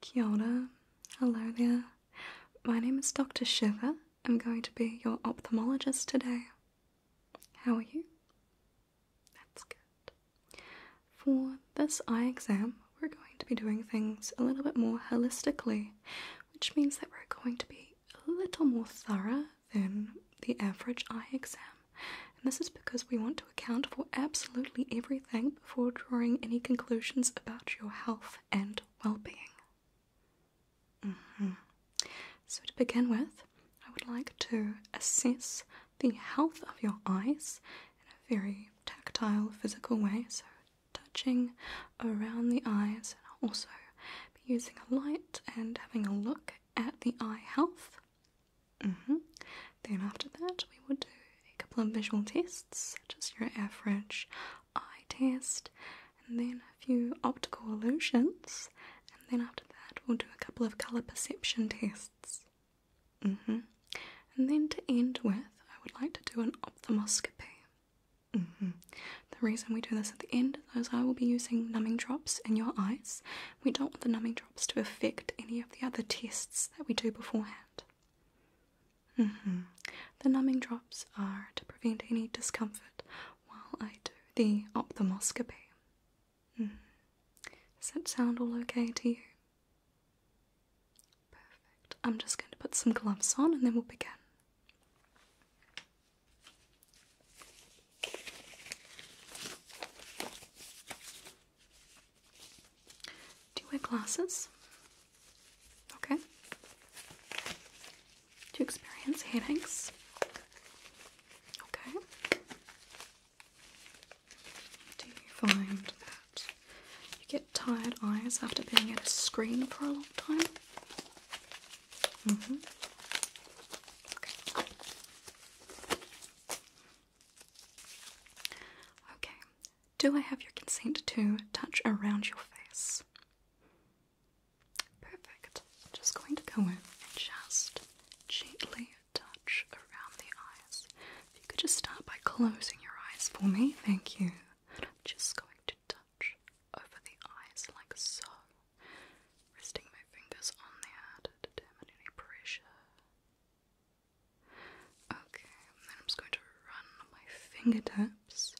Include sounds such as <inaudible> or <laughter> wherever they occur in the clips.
Kia Hello there. My name is Dr. Shiver. I'm going to be your ophthalmologist today. How are you? That's good. For this eye exam, we're going to be doing things a little bit more holistically, which means that we're going to be a little more thorough than the average eye exam and this is because we want to account for absolutely everything before drawing any conclusions about your health and well being. Mm-hmm. So, to begin with, I would like to assess the health of your eyes in a very tactile, physical way. So, touching around the eyes, and also be using a light and having a look at the eye health. Mm-hmm. Then after that, we would do a couple of visual tests, such as your average eye test, and then a few optical illusions, and then after that, we'll do a couple of colour perception tests. Mm-hmm. And then to end with, I would like to do an ophthalmoscopy. Mm-hmm. The reason we do this at the end is I will be using numbing drops in your eyes. We don't want the numbing drops to affect any of the other tests that we do beforehand. Mm-hmm. The numbing drops are to prevent any discomfort while I do the ophthalmoscopy. Mm-hmm. Does that sound all okay to you? Perfect. I'm just going to put some gloves on and then we'll begin. Do you wear glasses? Okay. Do you experience headaches? Okay. Do you find that you get tired eyes after being at a screen for a long time? hmm. Okay. Okay, do I have your consent to touch around your face? Perfect. just going to go in and just gently touch around the eyes. If you could just start by closing your eyes for me, thank you. just going to touch over the eyes like so, resting my fingers on there to determine any pressure. Okay, then I'm just going to run my fingertips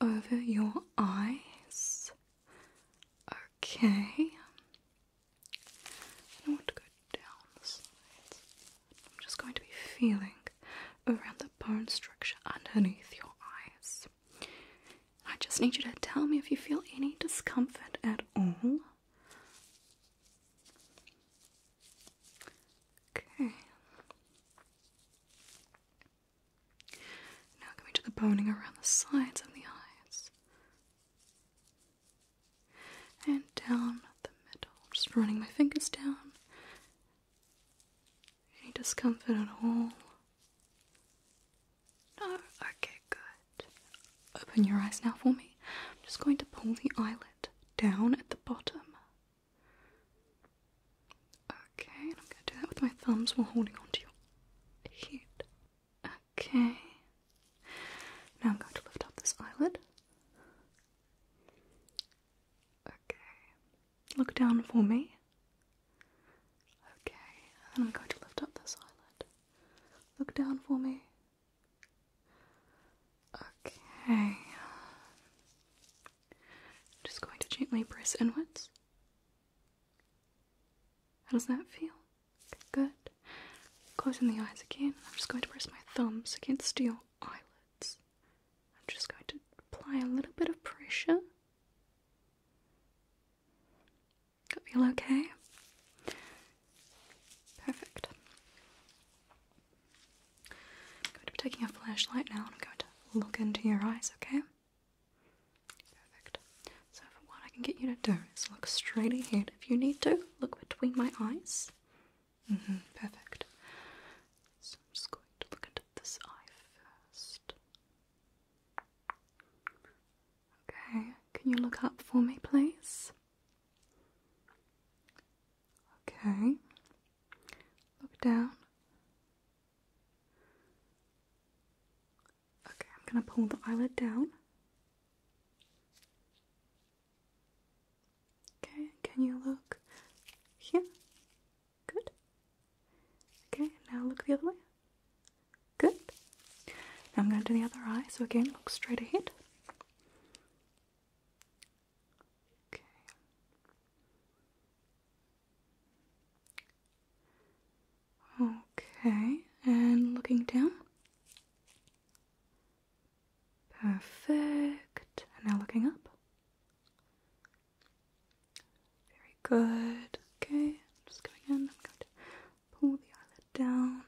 over your eyes. Okay. I want to go down the sides. I'm just going to be feeling around the bone structure underneath your eyes. I just need you to tell me if you feel any discomfort at all. Okay. Now coming to the boning around the sides of the eyes. And down the middle. just running my fingers down. Any discomfort at all? No? Okay good. Open your eyes now for me. I'm just going to pull the eyelid down at the bottom. Okay, and I'm going to do that with my thumbs while holding onto your head. Okay. Now I'm going to lift up this eyelid. Okay. Look down for me. Okay, and I'm going to lift up this eyelid. Look down for me. Okay. Just going to gently press inwards. How does that feel? Good. Closing the eyes again. I'm just going to press my thumbs against your eyelids. I'm just going to apply a little bit of pressure. Feel okay? Perfect. I'm going to be taking a flashlight now and I'm going to look into your eyes, okay? Perfect. So, what I can get you to do is look straight ahead. If you need to, look between my eyes. Mm-hmm, perfect. So, I'm just going to look into this eye first. Okay, can you look up for me, please? Okay. Look down. Okay, I'm going to pull the eyelid down. Okay, can you look here? Good. Okay, now look the other way. Good. Now I'm going to do the other eye. So again, look straight ahead. Okay. and looking down. Perfect. And now looking up. Very good. Okay, just going in. I'm going Pull the eyelid down.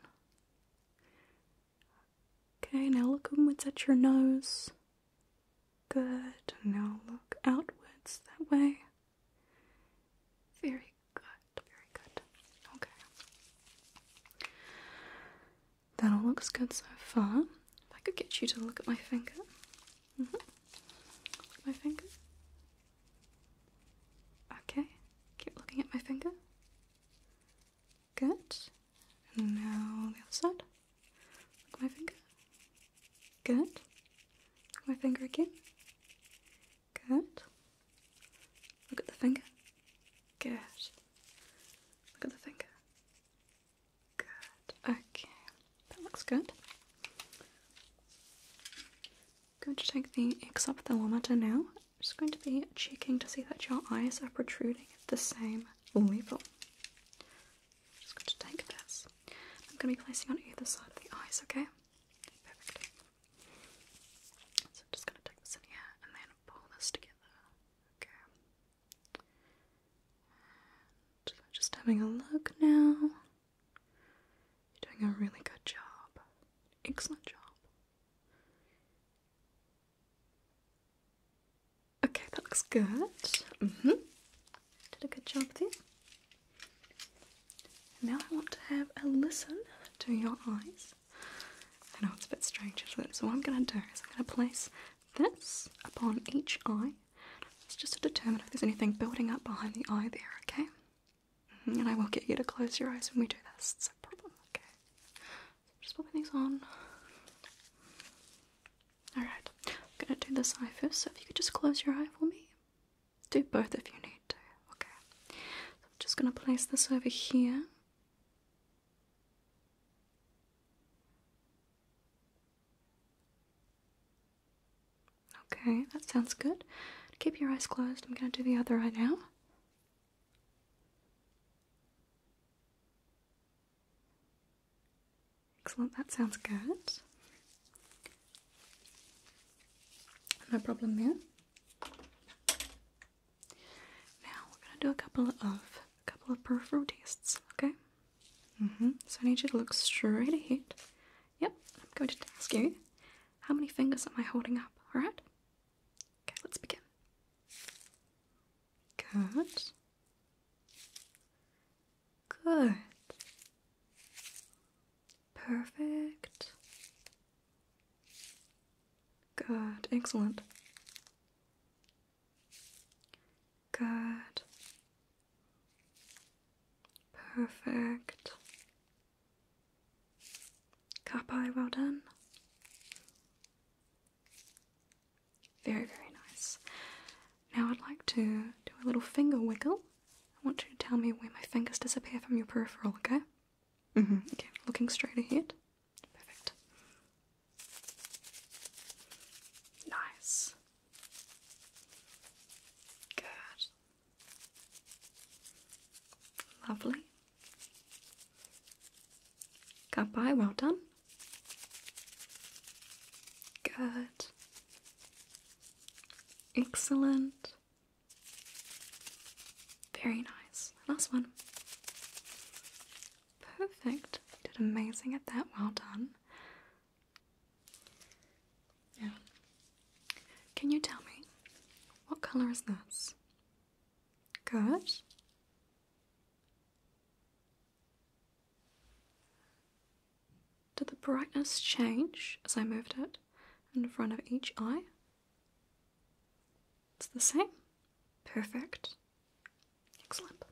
Okay, now look inwards at your nose. Good. Now look outwards that way. Very good, very good. Okay. That all looks good so far. If I could get you to look at my finger. Mm-hmm. Look at my finger. Okay, keep looking at my finger. Good. And now the other side. Look at my finger. Good. my finger again. Good. Look at the finger. Good. Look at the finger. Good. Okay. That looks good going to take the exophthalmometer now. I'm just going to be checking to see that your eyes are protruding the same level. I'm just going to take this. I'm going to be placing on either side of the eyes, okay? So I'm just going to take this in here and then pull this together. Okay. just having a look now. You're doing a really good job. Excellent job. Okay, that looks good. Mm-hmm. Did a good job there. Now I want to have a listen to your eyes. I know it's a bit strange, isn't it? So what I'm going to do is I'm going to place this upon each eye. It's just to determine if there's anything building up behind the eye there, okay? Mm-hmm. And I will get you to close your eyes when we do this. It's a problem, okay? So just popping these on. Alright, I'm gonna do this eye first, so if you could just close your eye for me. Do both if you need to, okay? So I'm just gonna place this over here. Okay, that sounds good. Keep your eyes closed. I'm going to do the other eye now. Excellent, that sounds good. No problem there. Now we're gonna do a couple of a couple of peripheral tastes. okay? Mm-hmm. So I need you to look straight ahead Yep, I'm going to ask you how many fingers am I holding up, alright? Okay, let's begin. Good. Good. Perfect. Good. Excellent. Good. Perfect. Kapai, well done. Very, very nice. Now I'd like to do a little finger wiggle. I want you to tell me where my fingers disappear from your peripheral, okay? hmm. Okay, looking straight ahead. Perfect. Nice. Good. Lovely. Got by, well done. Good. Excellent. Very nice. Last one. Perfect. did amazing at that. Well done. Yeah. Can you tell me what color is this? Good. Did the brightness change as I moved it in front of each eye? It's the same. Perfect. Excellent.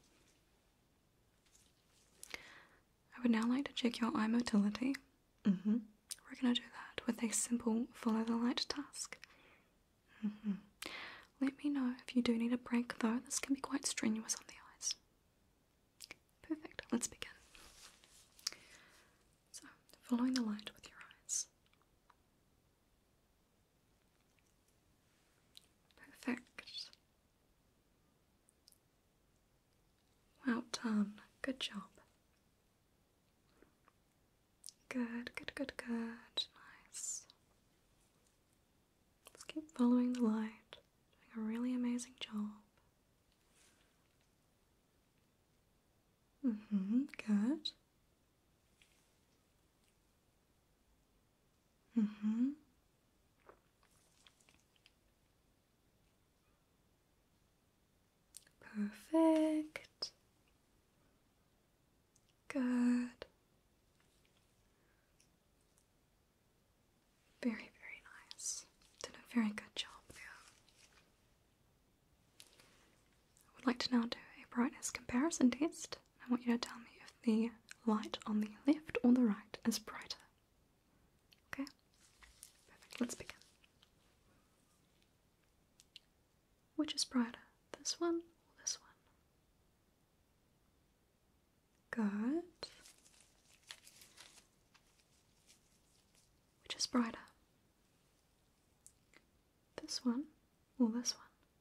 I would now like to check your eye motility. Mm-hmm. We're going to do that with a simple follow the light task. Mm-hmm. Let me know if you do need a break, though. This can be quite strenuous on the eyes. Perfect. Let's begin. So, following the light with your eyes. Perfect. Well done. Good job. Good, good, good, good. Nice. Let's keep following the light. Doing a really amazing job. Mm-hmm, good. Mm-hmm. Perfect. Good. Very, very nice. Did a very good job I would like to now do a brightness comparison test. I want you to tell me if the light on the left or the right is brighter. Okay? Perfect. Let's begin. Which is brighter, this one or this one? Good. Which is brighter? This one or this one?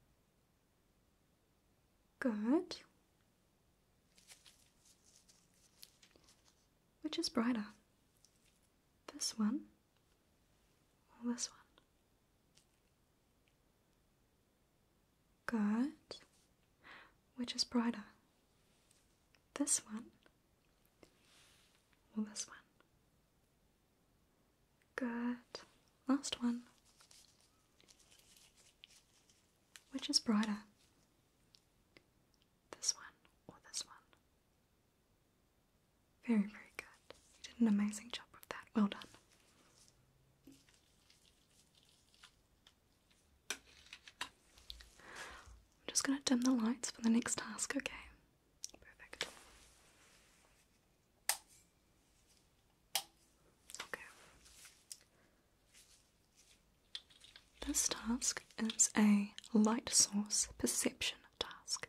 Good. Which is brighter? This one or this one? Good. Which is brighter? This one or this one? Good. Last one. Which is brighter? This one or this one? Very, very good. You did an amazing job with that. Well done. I'm just going to dim the lights for the next task, okay? Perfect. Okay. This task is a light source perception task.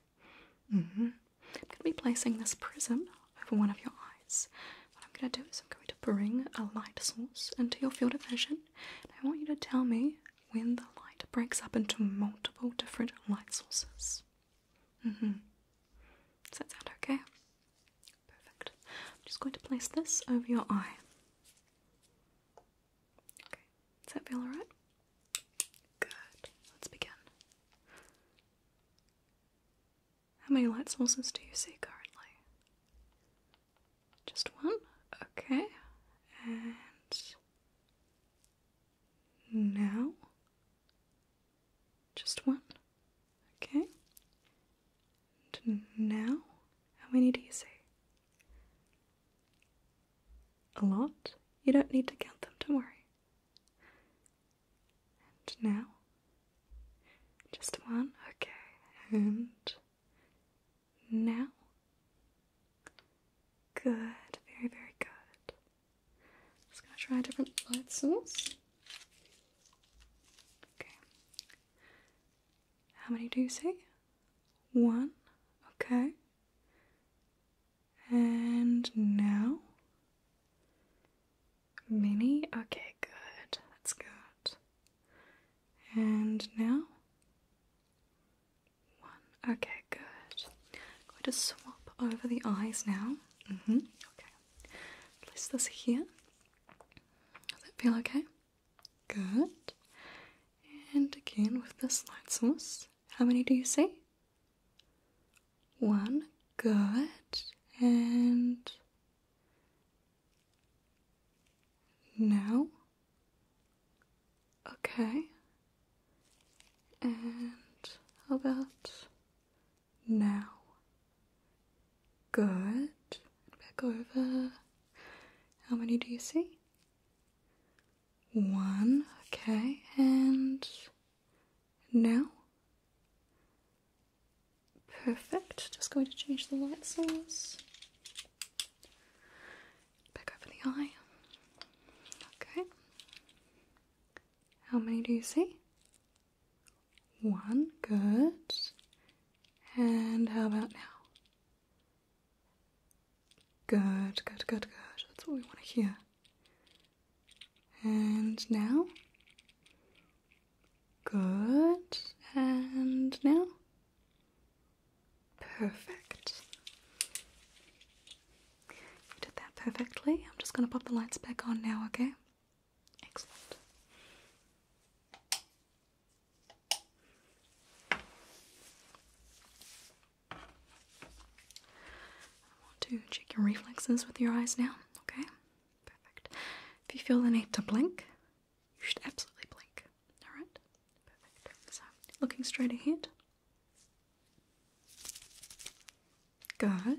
Mm-hmm. I'm going to be placing this prism over one of your eyes. What I'm going to do is I'm going to bring a light source into your field of vision, and I want you to tell me when the light breaks up into multiple different light sources. Mm-hmm. Does that sound okay? Perfect. I'm just going to place this over your eye. Okay, does that feel alright? Good. Let's begin. How many light sources do you see currently? Just one? Okay. And now? Just one? Okay now? How many do you see? A lot? You don't need to count them, don't worry. And now? Just one? Okay. And now? Good. Very, very good. Just gonna try a different light source. Okay. How many do you see? One. Okay. And now? Mini? Okay, good. That's good. And now? One. Okay, good. I'm going to swap over the eyes now. Mm hmm. Okay. Place this here. Does it feel okay? Good. And again with the light source. How many do you see? One. Good. And now. Okay. And how about now? Good. Back over. How many do you see? One, okay, and now? Perfect, just going to change the light source. Back over the eye. Okay. How many do you see? One, good. And how about now? Good, good, good, good. That's what we want to hear. And now? Good. And now? Perfect. You did that perfectly. I'm just going to pop the lights back on now, okay? Excellent. I want to check your reflexes with your eyes now, okay? Perfect. If you feel the need to blink, you should absolutely blink. Alright? Perfect. So, looking straight ahead. Good.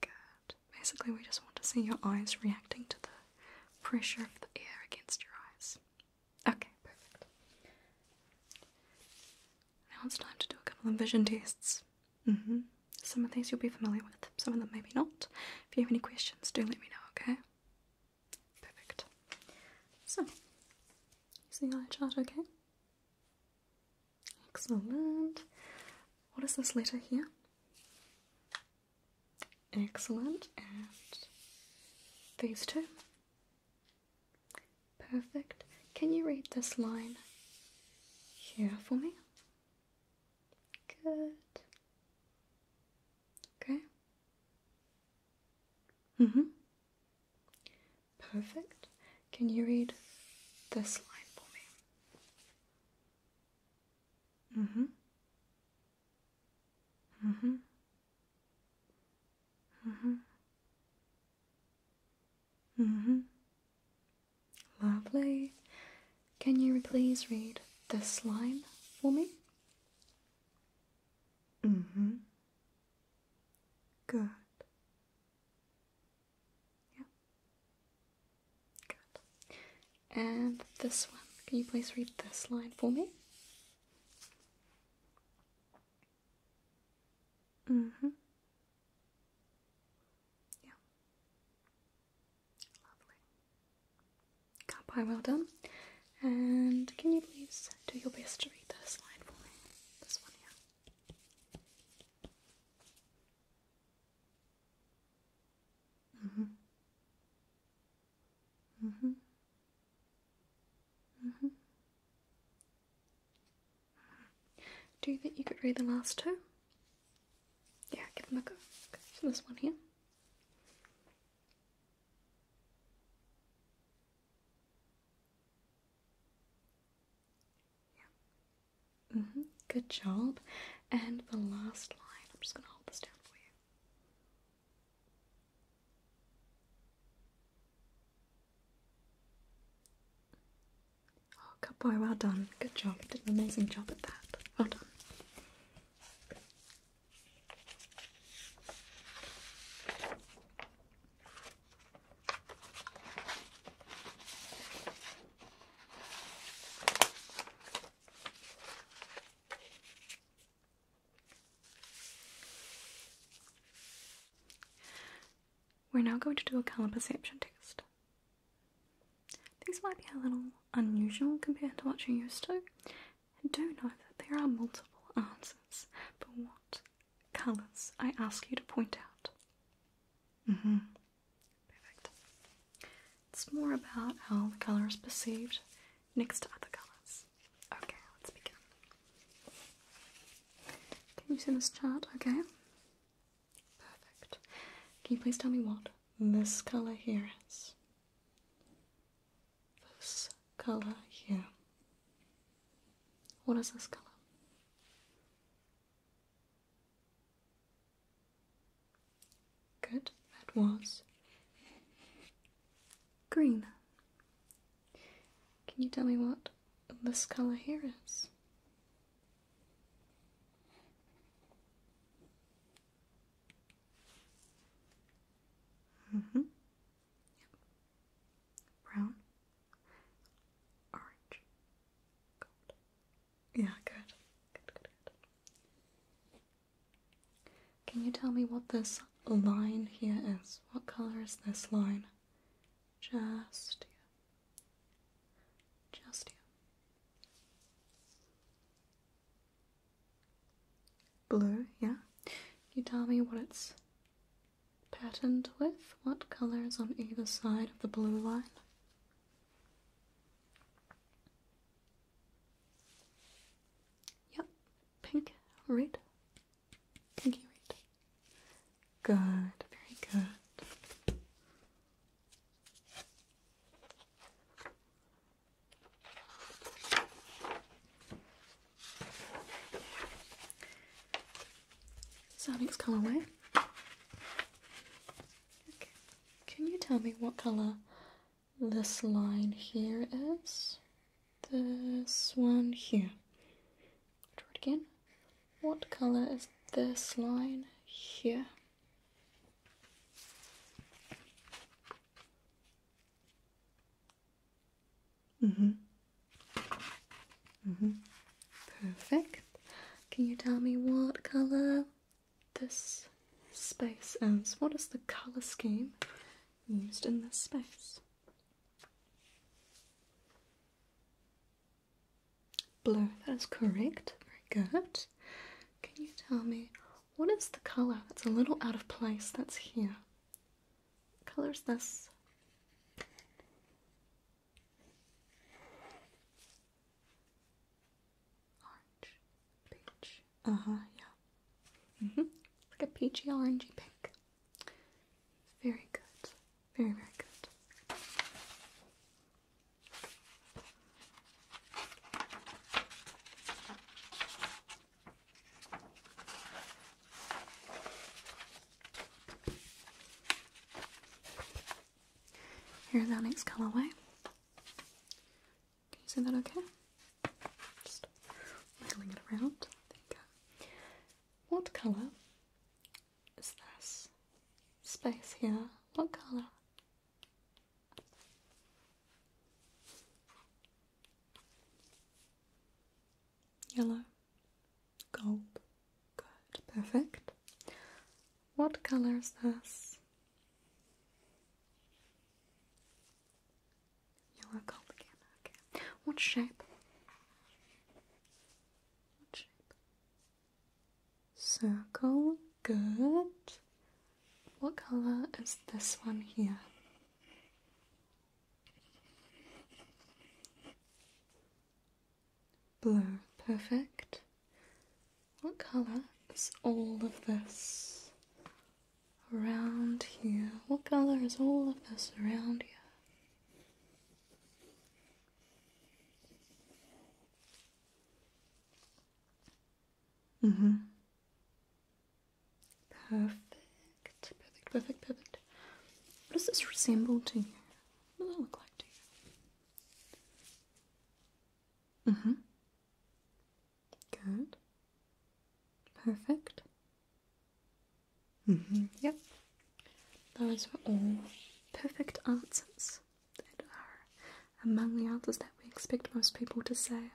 Good. Basically, we just want to see your eyes reacting to the pressure of the air against your eyes. Okay, perfect. Now it's time to do a couple of vision tests. Mm-hmm. Some of these you'll be familiar with, some of them maybe not. If you have any questions, do let me know, okay? Perfect. So, you see eye chart okay? Excellent. What is this letter here? Excellent. And these two? Perfect. Can you read this line here for me? Good. Okay. Mm hmm. Perfect. Can you read this line for me? Mm-hmm. Mm-hmm. Mm-hmm. Mm-hmm. Lovely. Can you please read this line for me? Mm-hmm. Good. Yeah. Good. And this one. Can you please read this line for me? Mm-hmm. Yeah. Lovely. Kanpai, well done. And can you please do your best to read this line for me? This one here. Mm-hmm. Mm-hmm. Mm-hmm. mm-hmm. mm-hmm. mm-hmm. Do you think you could read the last two? Yeah, give them a go. Okay, so this one here. Mm -hmm. Good job. And the last line, I'm just going to hold this down for you. Oh, good boy, well done. Good job. You did an amazing job at that. Well done. We're now going to do a color perception test. These might be a little unusual compared to what you're used to. I do know that there are multiple answers, but what colours I ask you to point out. Mm-hmm. Perfect. It's more about how the color is perceived next to other colors. Okay, let's begin. Can you see this chart? Okay. Perfect. Can you please tell me what this color here is? This color here. What is this color? Good, that was green. Can you tell me what this color here is? Mm-hmm. Brown? Orange? Gold? Yeah, good. Good, good, good. Can you tell me what this line here is? What color is this line? Just here. Just here. Blue, yeah? Can you tell me what it's patterned with what colors on either side of the blue line? Yep, pink, red, pinky red. Good, very good. Sonic's colorway. Okay. Can you tell me what color this line here is? This one here. Draw it again. What color is this line here? Mm-hmm. Mm-hmm. Perfect. Can you tell me what color this space is? What is the color scheme used in this space? Blue, that is correct. Very good. Can you tell me what is the colour that's a little out of place that's here? colour is this? Orange, peach. Uh huh, yeah. Mm-hmm. Like a peachy, orangey pink. Very good. Very, very good. Here's our next colorway. Can you see that okay? Just wiggling it around. What colour is this space here? What colour? Yellow. Gold. Good. Perfect. What color is this? Yellow gold again. Okay. What shape? What shape? Circle. Good. What color is this one here? Blue, perfect. What colour is all of this around here? What colour is all of this around here? Mm-hmm. Perfect. Perfect, perfect, perfect, What does this resemble to you? What does it look like to you? Mm-hmm. Good. Perfect. Mm-hmm. Yep. Those were all perfect answers that are among the answers that we expect most people to say.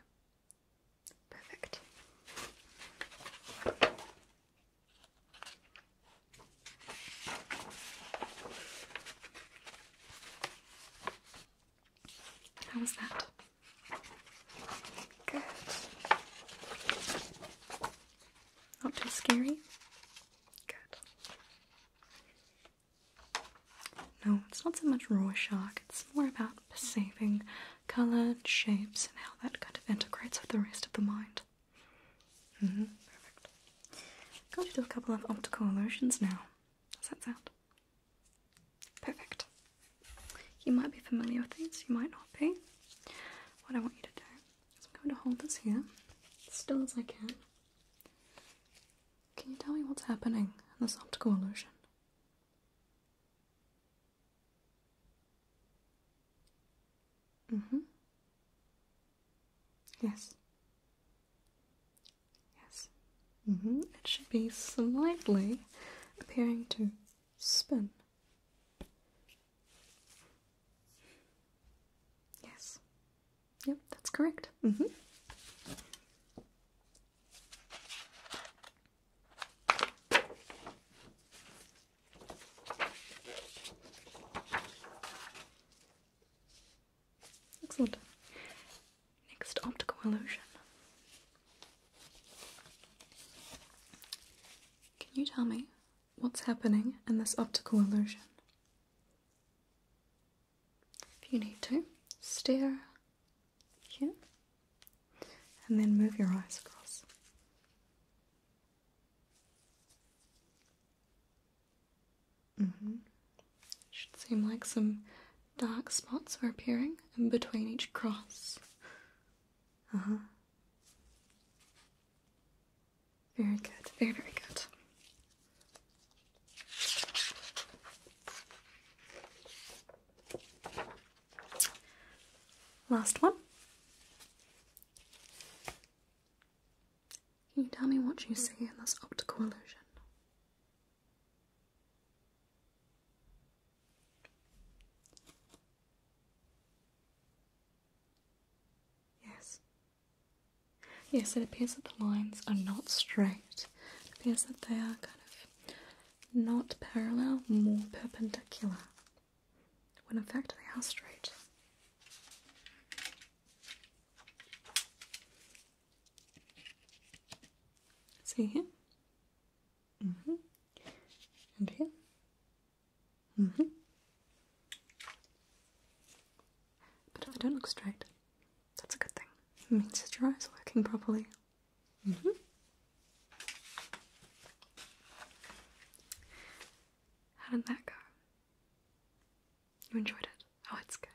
Perfect. How was that? Good. Not too scary? Good. No, it's not so much raw shark, it's more about saving colour, shapes, and how that kind of integrates with the rest of the mind. Mm -hmm, perfect. I'm going to do a couple of optical illusions now. Does that sound? Perfect. You might be familiar with these, you might not be. What I want you to do is I'm going to hold this here, still as I can. Can you tell me what's happening in this optical illusion? Mm-hmm. Yes. Yes. Mm-hmm. It should be slightly appearing to spin. Yes. Yep, that's correct. Mm-hmm. Excellent. Next optical illusion. Can you tell me what's happening in this optical illusion? If you need to, stare here and then move your eyes across. Mm-hmm. Should seem like some dark spots are appearing in between each cross. Uh-huh. Very good, very, very good. Last one. Can you tell me what you see in this optical illusion? Yes. Yes, it appears that the lines are not straight. It appears that they are kind of not parallel, more perpendicular when in fact they are straight. See here? Mm-hmm. And here? Mm-hmm. But if I don't look straight, that's a good thing. It means that your eyes are working properly. Mm -hmm. How did that go? You enjoyed it? Oh, it's good.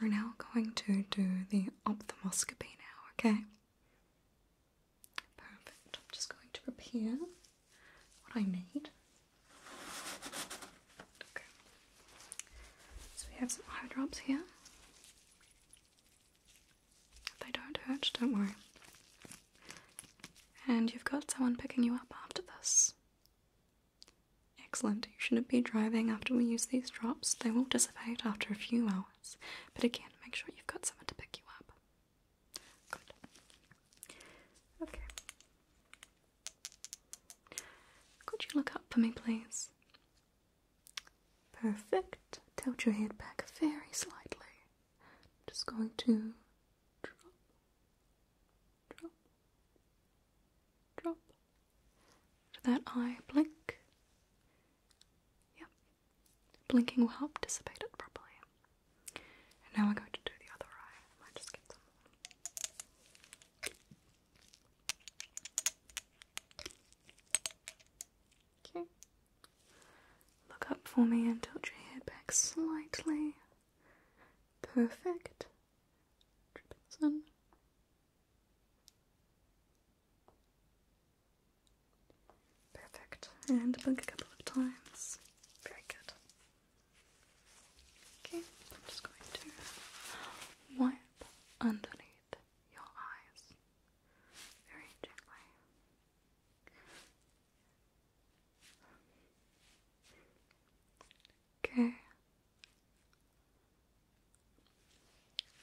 We're now going to do the ophthalmoscopy now, okay? Perfect. I'm just going to prepare what I need. Okay. So we have some eye drops here. If they don't hurt, don't worry. And you've got someone picking you up after this. Excellent. You shouldn't be driving after we use these drops. They will dissipate after a few hours. But again, make sure you've got someone to pick you up. Good. Okay. Could you look up for me, please? Perfect. Tilt your head back very slightly. I'm just going to drop, drop, drop to that eye. Blink. Yep. Blinking will help dissipate it properly. And now we're going to do the other eye. I might just get some. Okay. Look up for me and tilt your head back slightly. Perfect. Perfect. And blink a couple of times. Very good. Okay, I'm just going to wipe underneath your eyes very gently. Okay.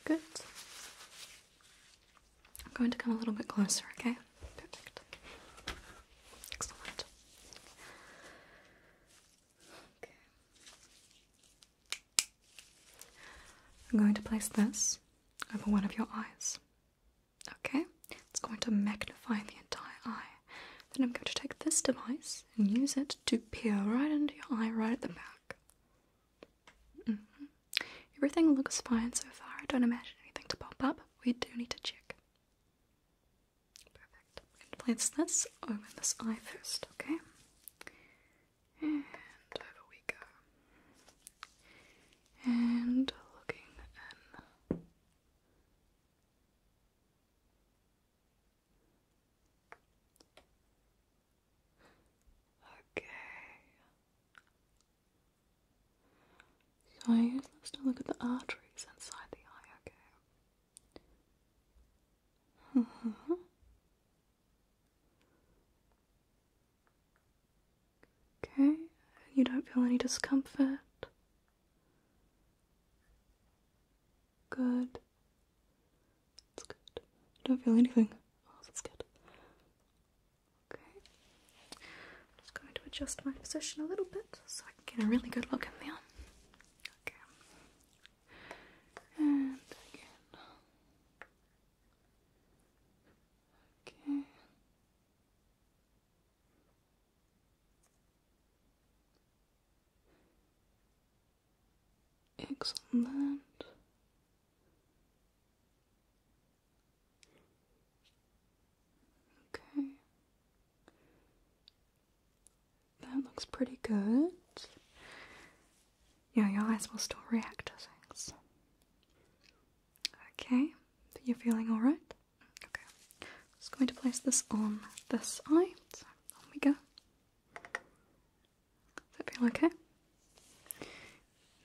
Good. I'm going to come a little bit closer, okay? Perfect. Excellent. Okay. I'm going to place this over one of your eyes. Okay, it's going to magnify the entire eye. Then I'm going to take this device and use it to peer right into your eye, right at the back. Mm-hmm. Everything looks fine so far. I don't imagine anything to pop up. We do need to check. Perfect. I'm going to place this over this eye first, okay? And over we And looking Okay. So I use this to look at the arteries inside the eye, okay? <laughs> Mm-hmm. Okay, you don't feel any discomfort. Good. That's good. don't feel anything. Oh, that's good. Okay. I'm just going to adjust my position a little bit so I can get a really good look in there. Okay. And again. Okay. Excellent. Okay. That looks pretty good. Yeah, your eyes will still react to things. Okay, you're feeling alright? Okay, I'm just going to place this on this eye. So, on we go. Does that feel okay?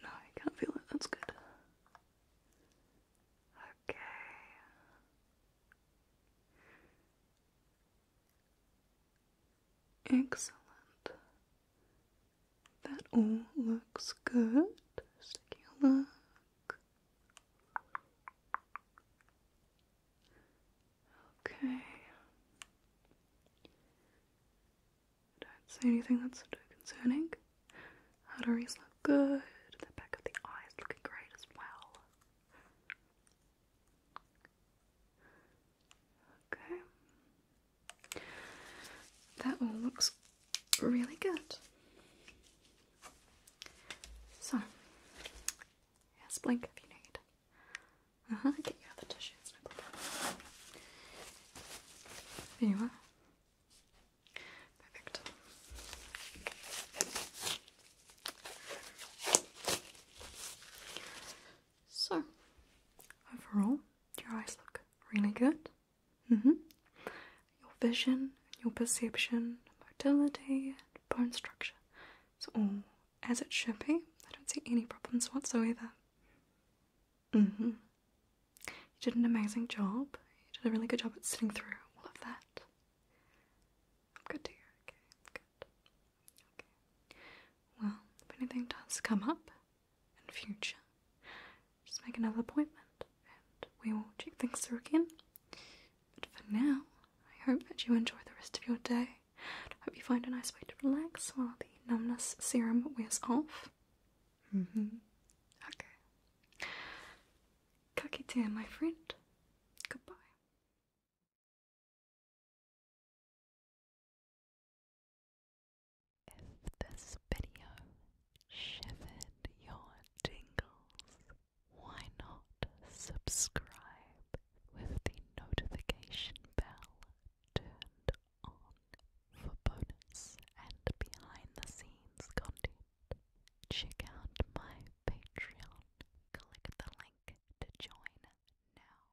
No, I can't feel it, that's good. Okay. Excellent. That all looks good. Just take a look. Okay. Don't see anything that's too concerning. Arteries look good. The back of the eye is looking great as well. Okay. That all looks really good. So, yes, blink if you need. Uh huh. Get you other tissue. It's no problem. There you Perfect. So, overall. Your eyes look really good. Mm-hmm. Your vision, your perception, mobility, and bone structure. It's all as it should be. I don't see any problems whatsoever. Mm-hmm. You did an amazing job. You did a really good job at sitting through all of that. I'm good to you. Okay, good. Okay. Well, if anything does come up, and future. Just make another appointment and we will check things through again. But for now, I hope that you enjoy the rest of your day. hope you find a nice way to relax while the numbness serum wears off. Mm hmm. Okay. Kakite, my friend. Goodbye. If this video shivered your tingles, why not subscribe with the notification bell turned on for bonus and behind the scenes content? Check out my Patreon. Click the link to join now.